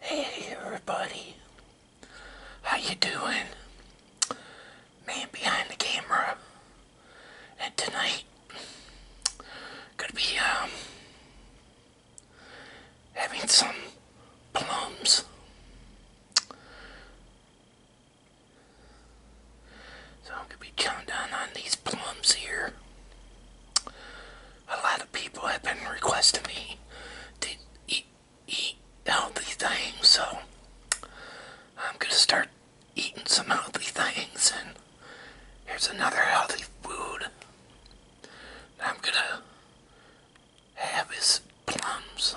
Hey everybody, how you doing? Man behind the camera, and tonight gonna be um having some plums. So I'm gonna be chowing down on these plums here a lot of people have been requesting me to eat, eat healthy things, so I'm going to start eating some healthy things. And here's another healthy food I'm going to have is plums.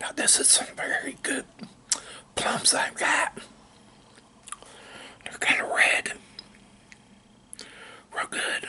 Now this is some very good plums I've got. They're kind of red. Real good.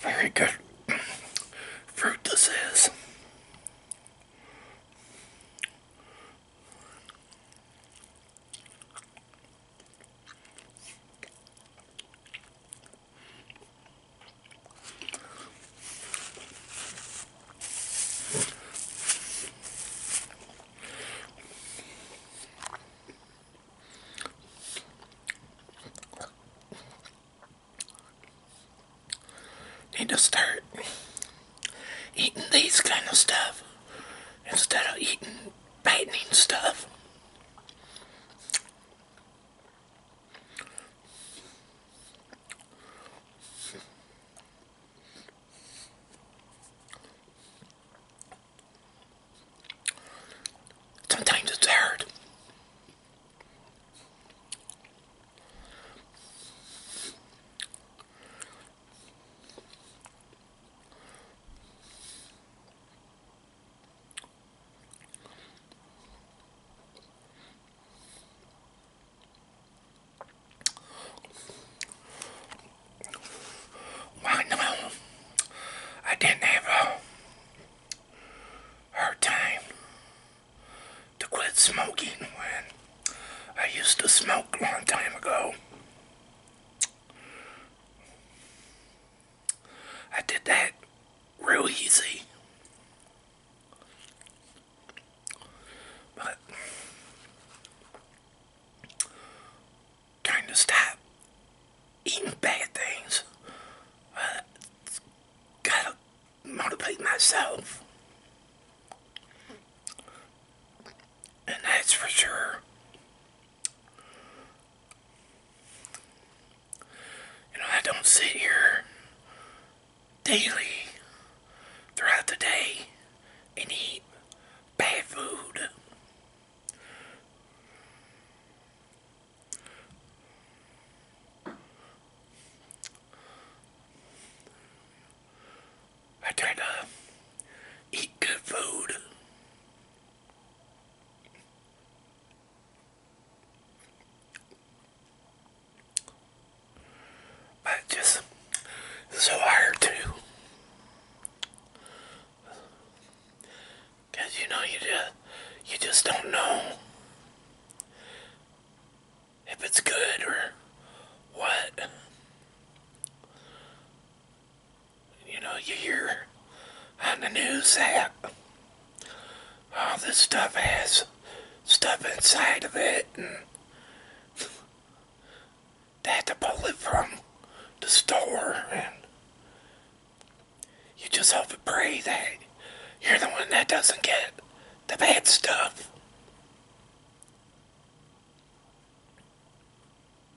Very good fruit this is. Need to start eating these kind of stuff instead of eating fattening stuff. Sometimes it's hard. Well, no, I didn't have a uh, hard time to quit smoking when I used to smoke a long time ago. I did that real easy. But trying to stop eating bad things, gotta motivate myself. And that's for sure. You know, I don't sit here daily throughout the day and eat bad food. I try to eat good food. But just so hard to. you know, you just, you just don't know if it's good or what you know, you hear on the news that all this stuff has stuff inside of it and they had to pull it from the store and you just hope and pray that you're the one that doesn't get the bad stuff.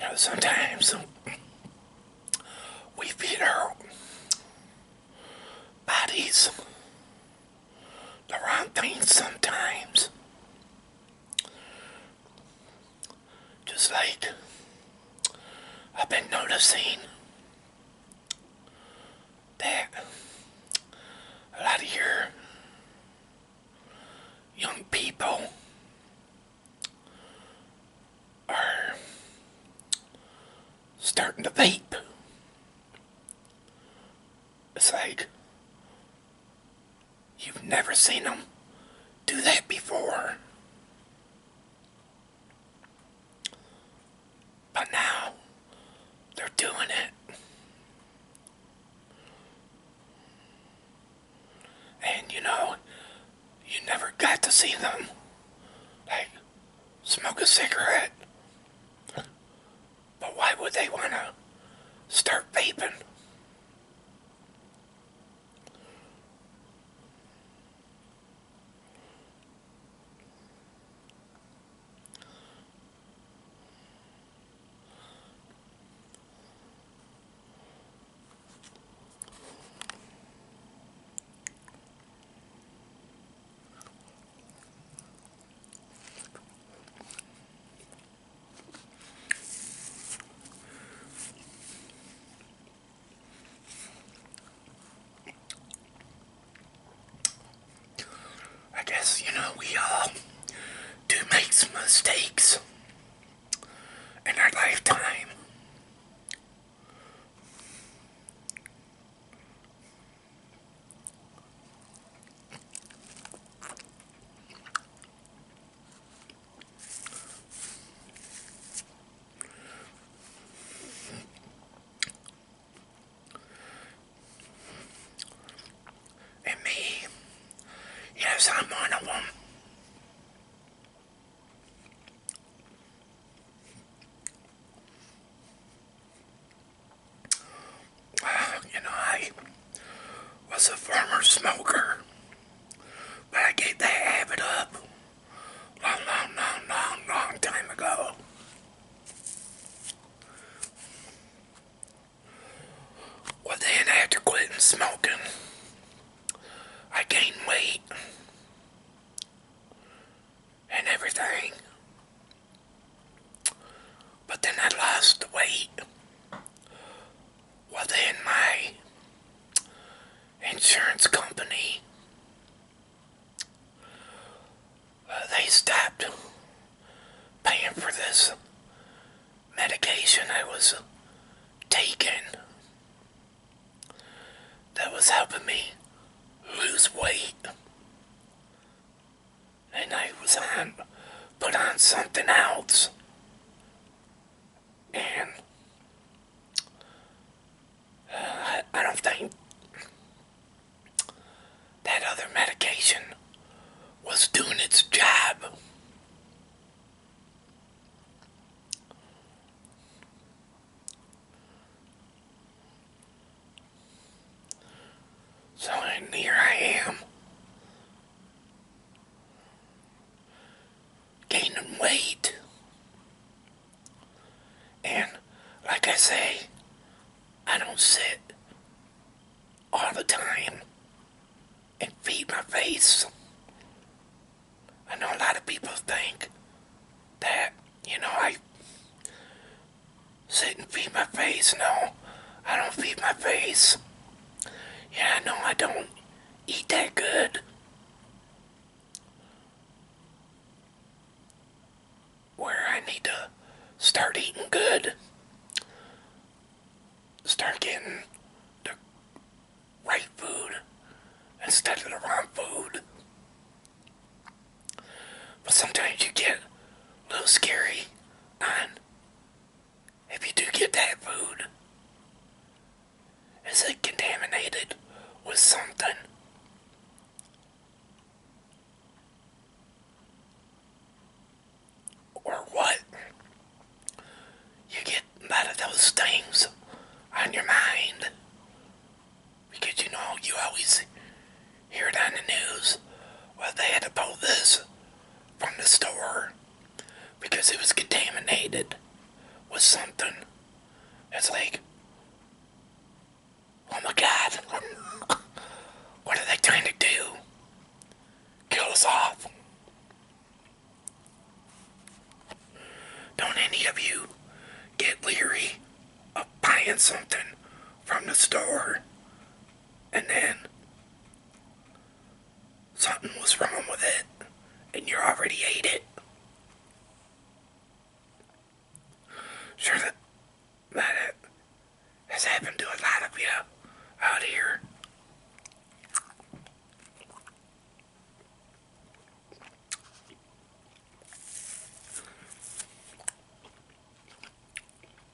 You know, sometimes we feed our bodies the wrong things sometimes. Just like I've been noticing that a lot of your young people are starting to vape it's like, you've never seen them do that before. But now, they're doing it. And you know, you never got to see them. Like, smoke a cigarette but why would they want to start vaping? I guess, you know, we all uh, do make some mistakes in our lifetime. And me, yes, I'm one of them. you know, I was a former smoker, but I gave that habit up long, long, long, long, long time ago. Well, then after quitting smoking, I gained weight and everything. But then I lost the weight well then my insurance company uh, they stopped paying for this medication I was taking that was helping me lose weight and I was on put on something else and uh, I don't think that other medication was doing its job. So here I am. Gaining weight. And like I say, I don't sit all the time and feed my face. I know a lot of people think that, you know, I sit and feed my face. No, I don't feed my face. Yeah, no, I don't eat that good. Where I need to start eating good. Start getting the right food instead of the wrong food. But sometimes you get a little scary on if you do get that food, is it contaminated with something? Or what? You get a of those things on your mind because you know you always hear on the news. Well, they had to pull this from the store because it was contaminated with something. It's like, oh my god, what are they trying to do? Kill us off. Don't any of you get leery of buying something from the store and then Something was wrong with it, and you already ate it. Sure, that, that has happened to a lot of you out here.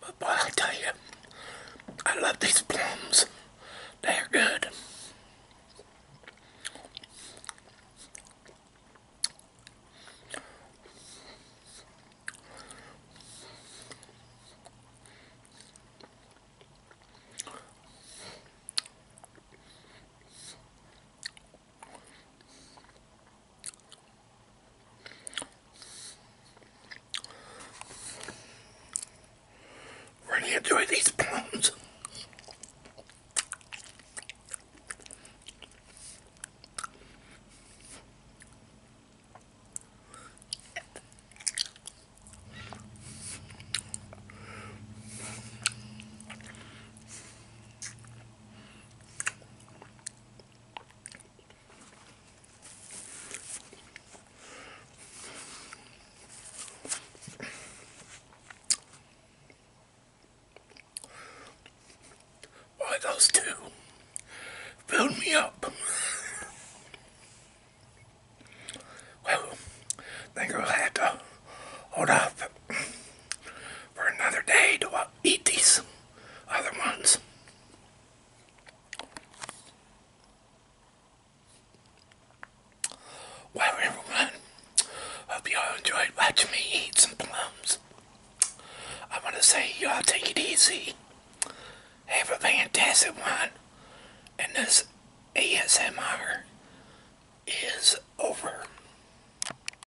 But boy, I tell you, I love these plums. They're good. Really enjoy these plums. Why those two filled me up. well, I think i to hold off for another day to uh, eat these other ones. Well, everyone, hope you all enjoyed watching me eat some plums. I want to say y'all take it easy. Have a fantastic one. And this ASMR is over.